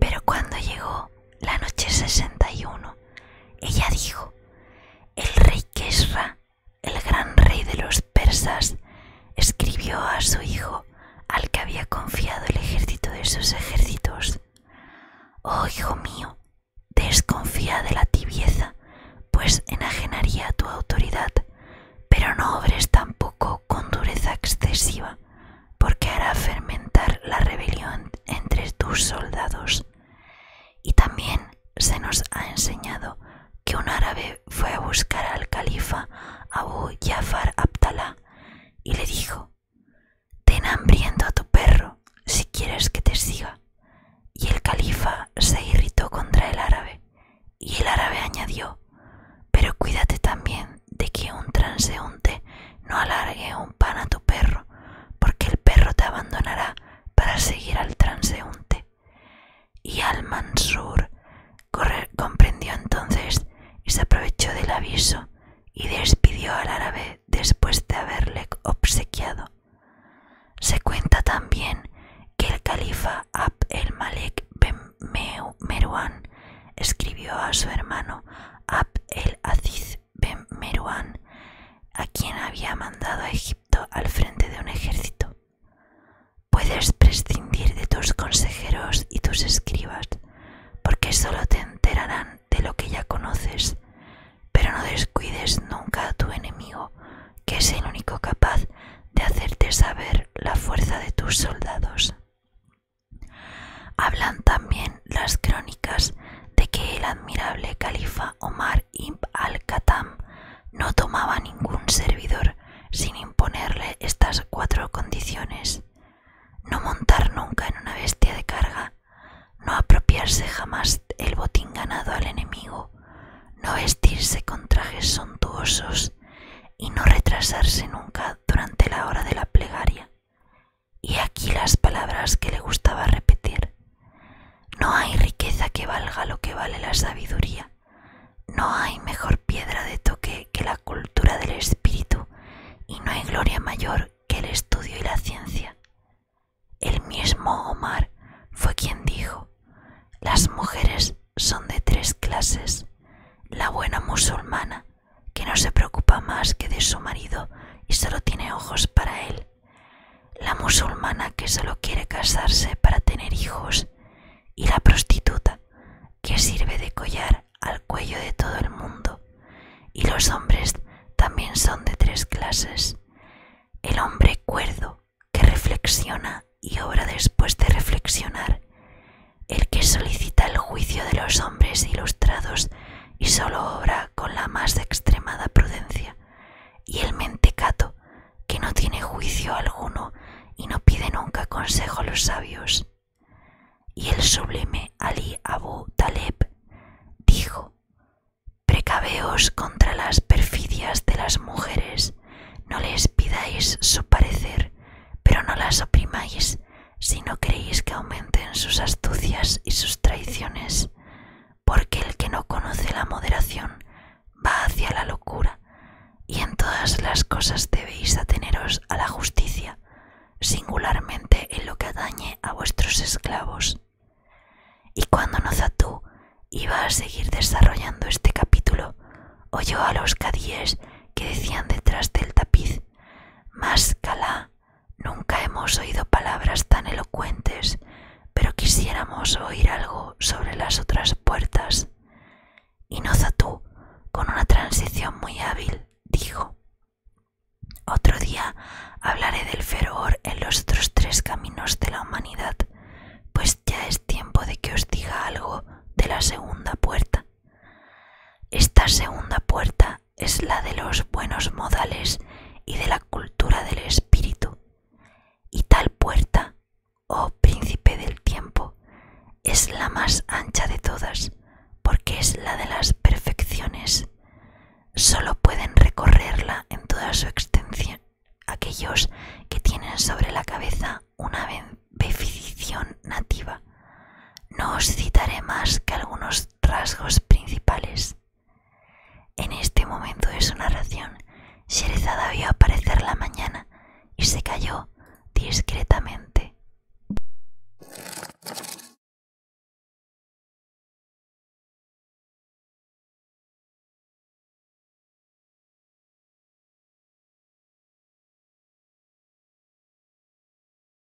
Pero cuando llegó la noche 61, ella dijo, el rey Kesra, el gran rey de los persas, escribió a su hijo, al que había confiado el ejército de sus ejércitos, Oh hijo mío, Desconfía de la tibieza, pues enajenaría tu autoridad, pero no obres tampoco con dureza excesiva, porque hará fermentar la rebelión entre tus soldados. Y también se nos ha enseñado que un árabe fue a buscar al califa Abu Jafar Abdallah y le dijo, Ten hambriento a tu perro si quieres que te siga. Y el califa se irritó contra el árabe, y el árabe añadió, pero cuídate también de que un transeúnte no alargue un pan a tu perro, porque el perro te abandonará para seguir al transeúnte. Y al Mansur comprendió entonces y se aprovechó del aviso y despidió al árabe después de haberle obsequiado. Se cuenta también que el califa Ab el malek ben Meruán escribió a su hermano Ab el Aziz ben Meruán, a quien había mandado a Egipto al frente de un ejército. Puedes prescindir de tus consejeros y tus escribas, porque solo te enterarán de lo que ya conoces, pero no descuides nunca a tu enemigo, que es el único capaz de hacerte saber la fuerza de tus soldados. Hablan también las crónicas de que el admirable califa Omar Ibn al khattam no tomaba ningún servidor sin imponerle estas cuatro condiciones no montar nunca en una bestia de carga, no apropiarse jamás el botín ganado al enemigo, no vestirse con trajes sontuosos y no retrasarse nunca durante la hora de la plegaria. Y aquí las palabras que le gustaba repetir. No hay riqueza que valga lo que vale la sabiduría, no hay mejor piedra de toque que la cultura del espíritu y no hay gloria mayor que el estudio y la ciencia. El mismo Omar fue quien dijo, las mujeres son de tres clases, la buena musulmana, que no se preocupa más que de su marido y solo tiene ojos para él, la musulmana que solo quiere casarse para tener hijos y la prostituta, que sirve de collar al cuello de todo el mundo, y los hombres también son de tres clases. El hombre cuerdo, que reflexiona y obra después de reflexionar, el que solicita el juicio de los hombres ilustrados y solo obra con la más extremada prudencia, y el mentecato, que no tiene juicio alguno y no pide nunca consejo a los sabios. Y el sublime Ali Abu Taleb dijo, Precaveos contra las perfidias de las mujeres, no les pidáis su parecer, pero no las oprimáis si no creéis que aumenten sus astucias y sus traiciones, porque el que no conoce la moderación va hacia la locura, y en todas las cosas debéis ateneros a la justicia, singularmente en lo que dañe a vuestros esclavos. Y cuando Nozatú iba a seguir desarrollando este capítulo, oyó a los cadíes que decían detrás del tapiz, Más nunca hemos oído palabras tan elocuentes, pero quisiéramos oír algo sobre las otras puertas. Y Inozatú, con una transición muy hábil, dijo Otro día hablaré del fervor en los otros tres caminos de la humanidad, pues ya es tiempo de que os diga algo de la segunda puerta. Esta segunda puerta es la de los buenos modales y de la cultura del espíritu. Y tal puerta, oh príncipe del tiempo, es la más ancha de todas, porque es la de las perfecciones. Solo pueden recorrerla en toda su extensión aquellos que tienen sobre la cabeza una benefición nativa. No os citaré más que algunos rasgos principales. En este momento de su narración, Sherezada vio aparecer la mañana y se cayó discretamente.